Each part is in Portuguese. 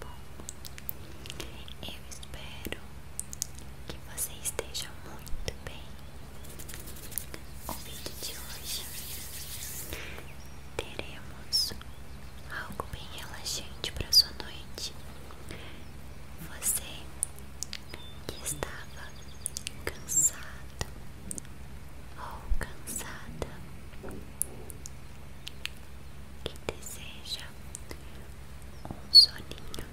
bom? Eu espero que você esteja muito bem. O vídeo de hoje teremos algo bem relaxante para sua noite. Você que estava cansado ou cansada que deseja um soninho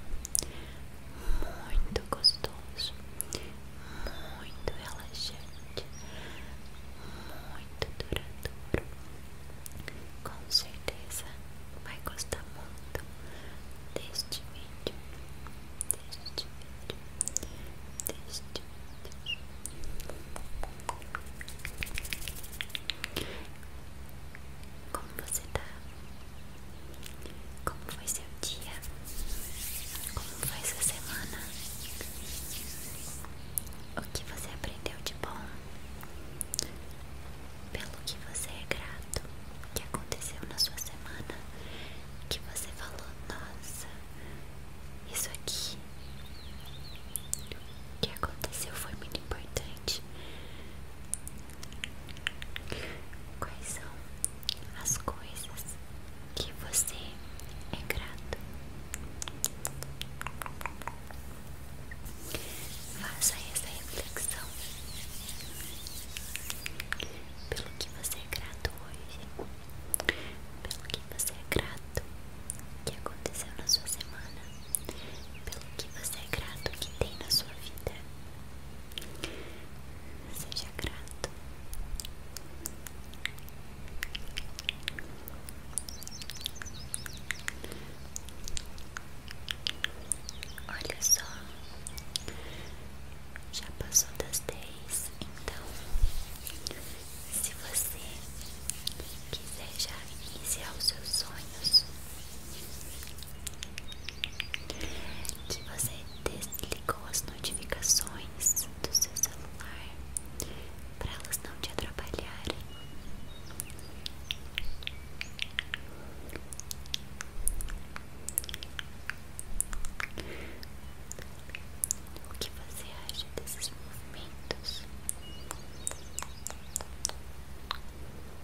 muito gostoso, muito relaxante, muito duradouro. Com certeza vai gostar muito deste vídeo, deste vídeo, deste vídeo. Como você tá? Como foi seu dia? Como foi essa semana? O que você aprendeu de bom? Pelo que você é grato? O que aconteceu na sua semana? Que você falou, nossa, isso aqui. O que aconteceu foi muito importante. Quais são as coisas que você é grato? Faça essa reflexão pelo que você é grato hoje, pelo que você é grato que aconteceu na sua semana pelo que você é grato que tem na sua vida. Seja grato. Olha só, já passou das dez então se você quiser já iniciar os seus sonhos, que você desligou as notificações do seu celular para elas não te atrapalharem. O que você acha desses movimentos? Você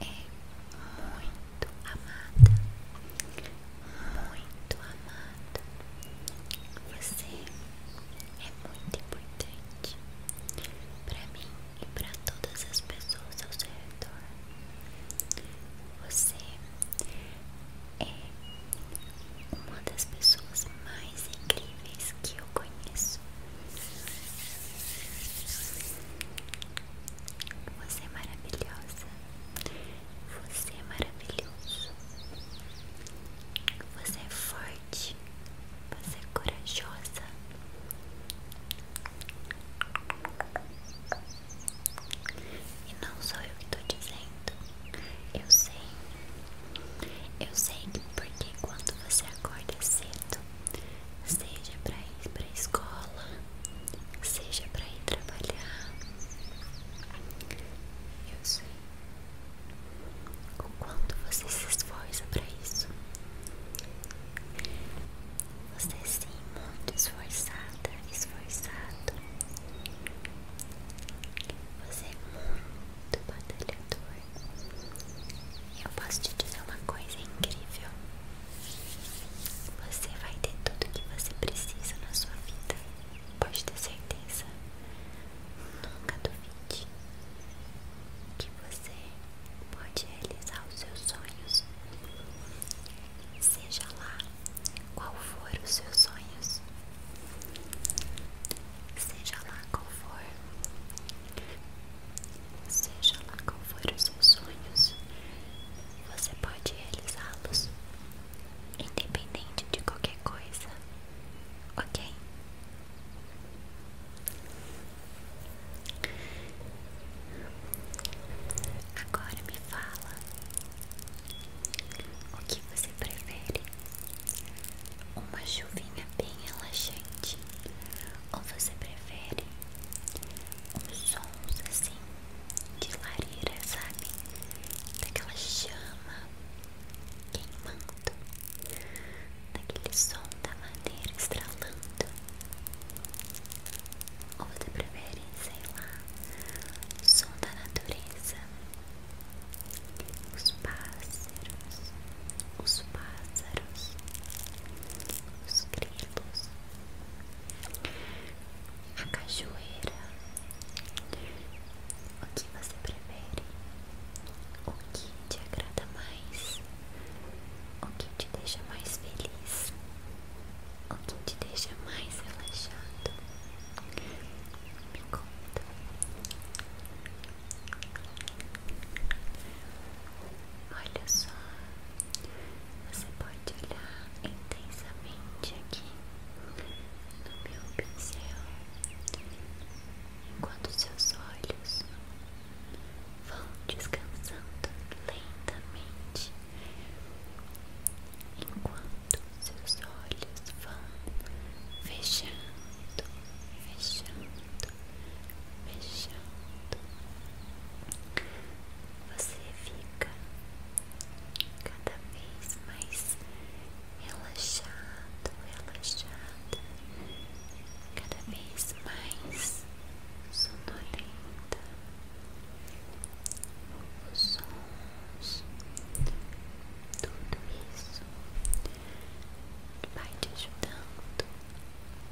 é muito amada, muito amada. Você é muito importante para mim e para todas as pessoas ao seu redor. Você é uma das pessoas mais incríveis que eu conheço. Você é maravilhosa. Você é maravilhoso. Você é forte. Você é corajosa. E não sou eu que estou dizendo. Eu sei. Eu sei porque quando você acorda cedo, seja para ir para a escola, seja para ir trabalhar. Eu sei o quanto você se esforça para isso. Você é sim, muito esforçada, esforçado. Você é muito batalhador. Eu posso te dizer uma coisa incrível. Você vai ter tudo que você precisa na sua vida. Pode ter certeza. Nunca duvide que você pode realizar os seus sonhos. Seja lá qual for os seus sonhos. Seja lá qual for. Seja lá qual for os seus sonhos, você pode realizá-los, independente de qualquer coisa, ok? Agora me fala o que você prefere: uma chuvinha bem relaxante ou você prefere os sons assim de lareira, sabe? Daquela chama queimando, daquele som da madeira estralando. Ou você prefere, sei lá, o som da natureza, os pássaros, os pássaros, os grilos, a cachoeira. O que você prefere? O que te agrada mais? O que te deixa mais feliz? O que te deixa mais relaxado? Me conta. Olha só, você pode olhar intensamente aqui no meu pincel, enquanto seus olhos vão descansando lentamente, enquanto seus olhos vão fechando, fechando, fechando, você fica cada vez mais relaxado, relaxada, cada vez mais sonolenta. Os sons, tudo isso vai te ajudando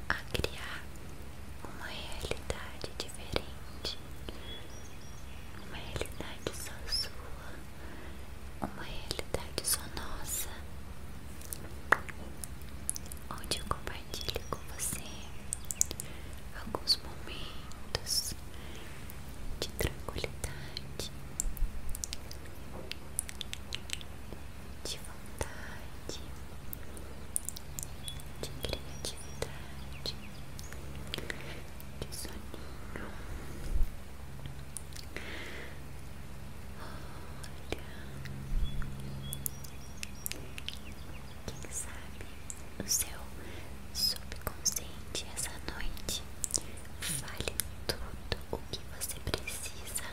a criar uma realidade diferente, uma realidade só sua, uma realidade só nossa, onde eu compartilho com você alguns momentos de tranquilidade de vontade, de criatividade, de sonho. Olha, quem sabe o seu subconsciente essa noite vale tudo o que você precisa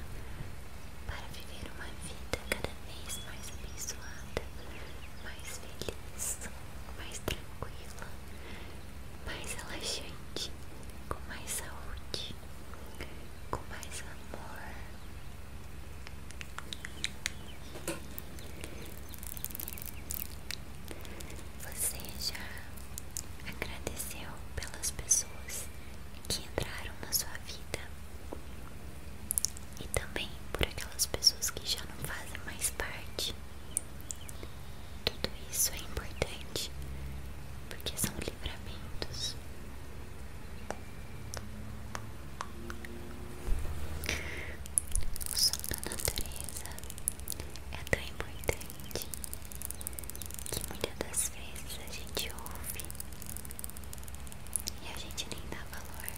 para viver uma vida cada vez mais abençoada, mais feliz, mais tranquila, mais relaxante, com mais saúde, com mais amor. Você já agradeceu pelas pessoas que entraram na sua vida e também por aquelas pessoas que já não fazem mais parte. Tudo isso é importante porque são livramentos. O som da natureza é tão importante que muitas das vezes a gente ouve e a gente nem dá valor.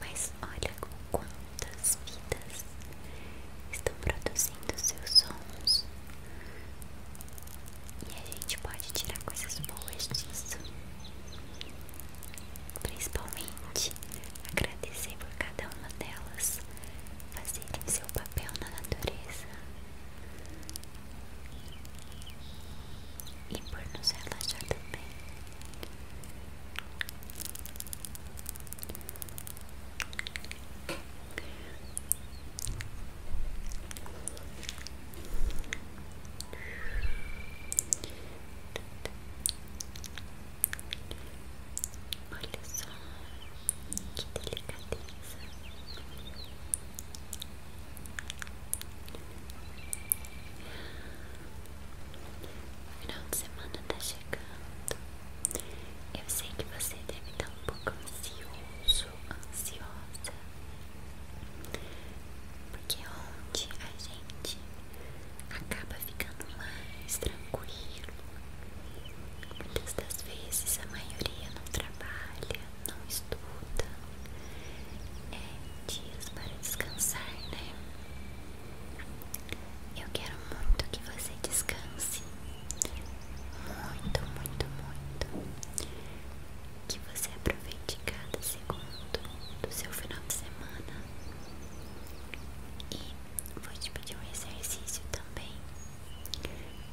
Mas olha quantas vidas estão produzindo seus sons. E a gente pode tirar coisas boas disso. Principalmente agradecer por cada uma delas fazerem seu papel na natureza e por nos relaxar também. Olha só que delicadeza. Final de semana tá chegando. Eu sei que você deve estar tá um pouco ansioso, ansiosa. Porque ontem a gente acaba ficando mais tranquilo, Muitas das vezes a maioria não trabalha, não estuda. É dias para descansar, né? Eu quero muito que você descanse. Muito, muito, muito. Que você aproveite cada segundo do seu final de semana. E vou te pedir um exercício também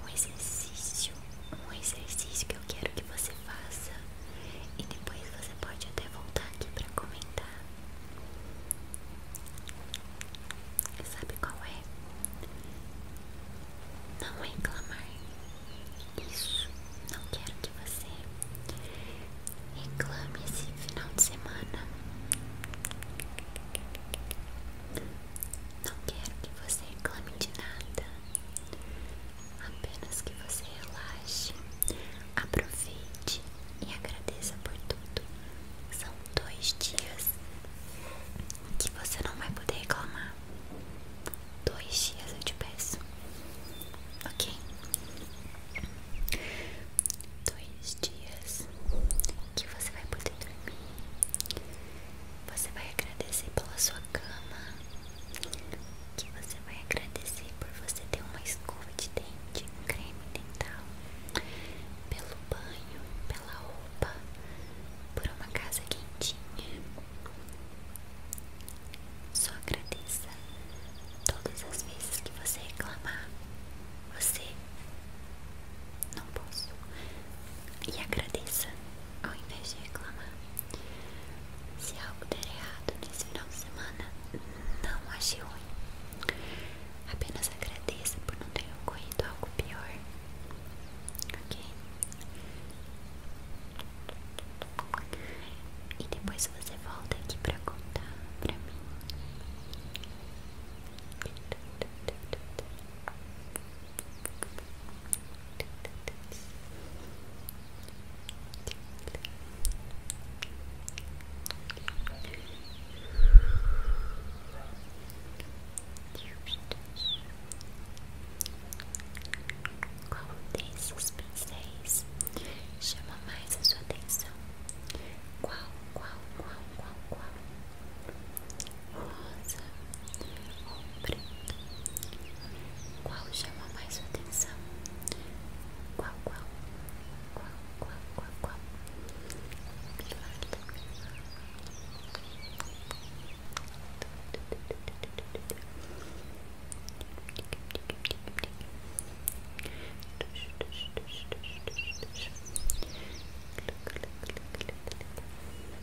um exercício, um exercício que eu quero que você faça e depois você pode até voltar aqui para comentar. Sabe qual é? Não reclamar. Isso. Não quero que você reclame esse final de semana. Não quero que você reclame de nada, apenas que você relaxe, aproveite e agradeça por tudo. São dois dias que você não vai poder reclamar. Dois dias eu te peço, ok? Dois dias que você vai poder dormir você vai agradecer pela sua cama. Que você vai agradecer por você ter uma escova de dente, um creme dental, pelo banho, pela roupa, por uma casa quentinha. Só agradeça todas as vezes que você reclamar. Você não posso. E agradeça ao invés de reclamar. Se algo der errado nesse final de semana, não ache ruim. Apenas agradeça por não ter ocorrido algo pior. Ok? E depois você volta aqui pra contar pra mim. Qual desses pincéis chama mais a sua atenção? Qual, qual, qual, qual, qual? rosa ou preto? Qual chama mais sua atenção? Qual, qual, qual, qual, qual, qual? Qual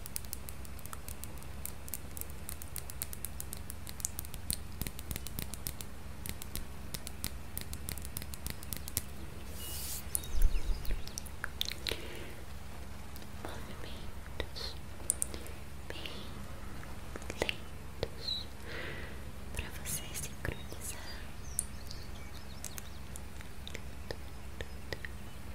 Movimentos bem lentos para vocês se Tudo,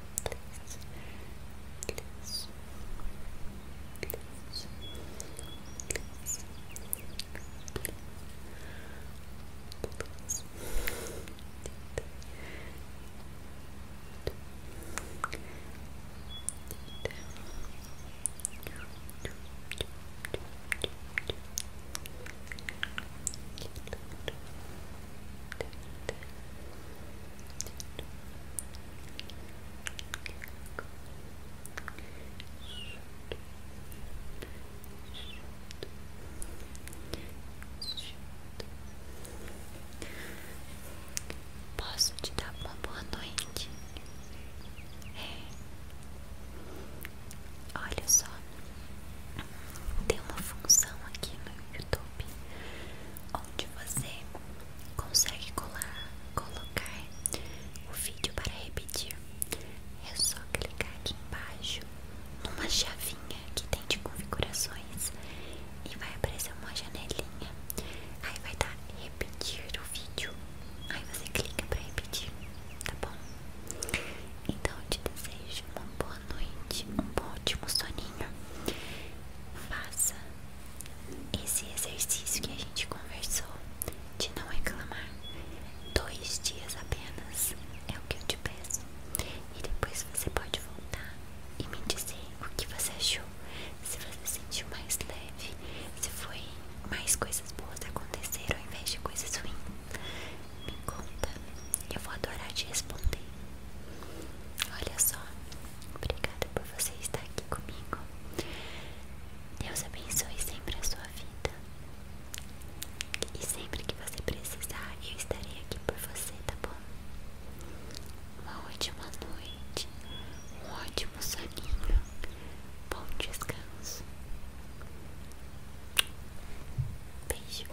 please, please, please, please, please, Good. Posso te dar uma boa noite? É. Olha só, tem uma função aqui no YouTube onde você consegue colar, colocar o vídeo para repetir. É só clicar aqui embaixo numa chavinha que tem de configurações e vai aparecer uma janelinha. Aí vai dar repetir o vídeo. Aí você clica para repetir, tá bom? Então eu te desejo uma boa boa noite, um bom ótimo soninho. Faça esse exercício que a gente conversou de não reclamar. Dois dias apenas é o que eu te peço. E depois você pode voltar e me dizer o que você achou. Se você sentiu mais leve, se foi mais coisas boas aconteceram ao invés de coisas ruins. Me conta, eu vou adorar te responder. Olha só, obrigada por você estar aqui comigo. Deus abençoe sempre a sua vida. E sempre que você precisar, eu estarei aqui por você, tá bom? Uma ótima noite, um ótimo soninho, bom descanso. Beijo.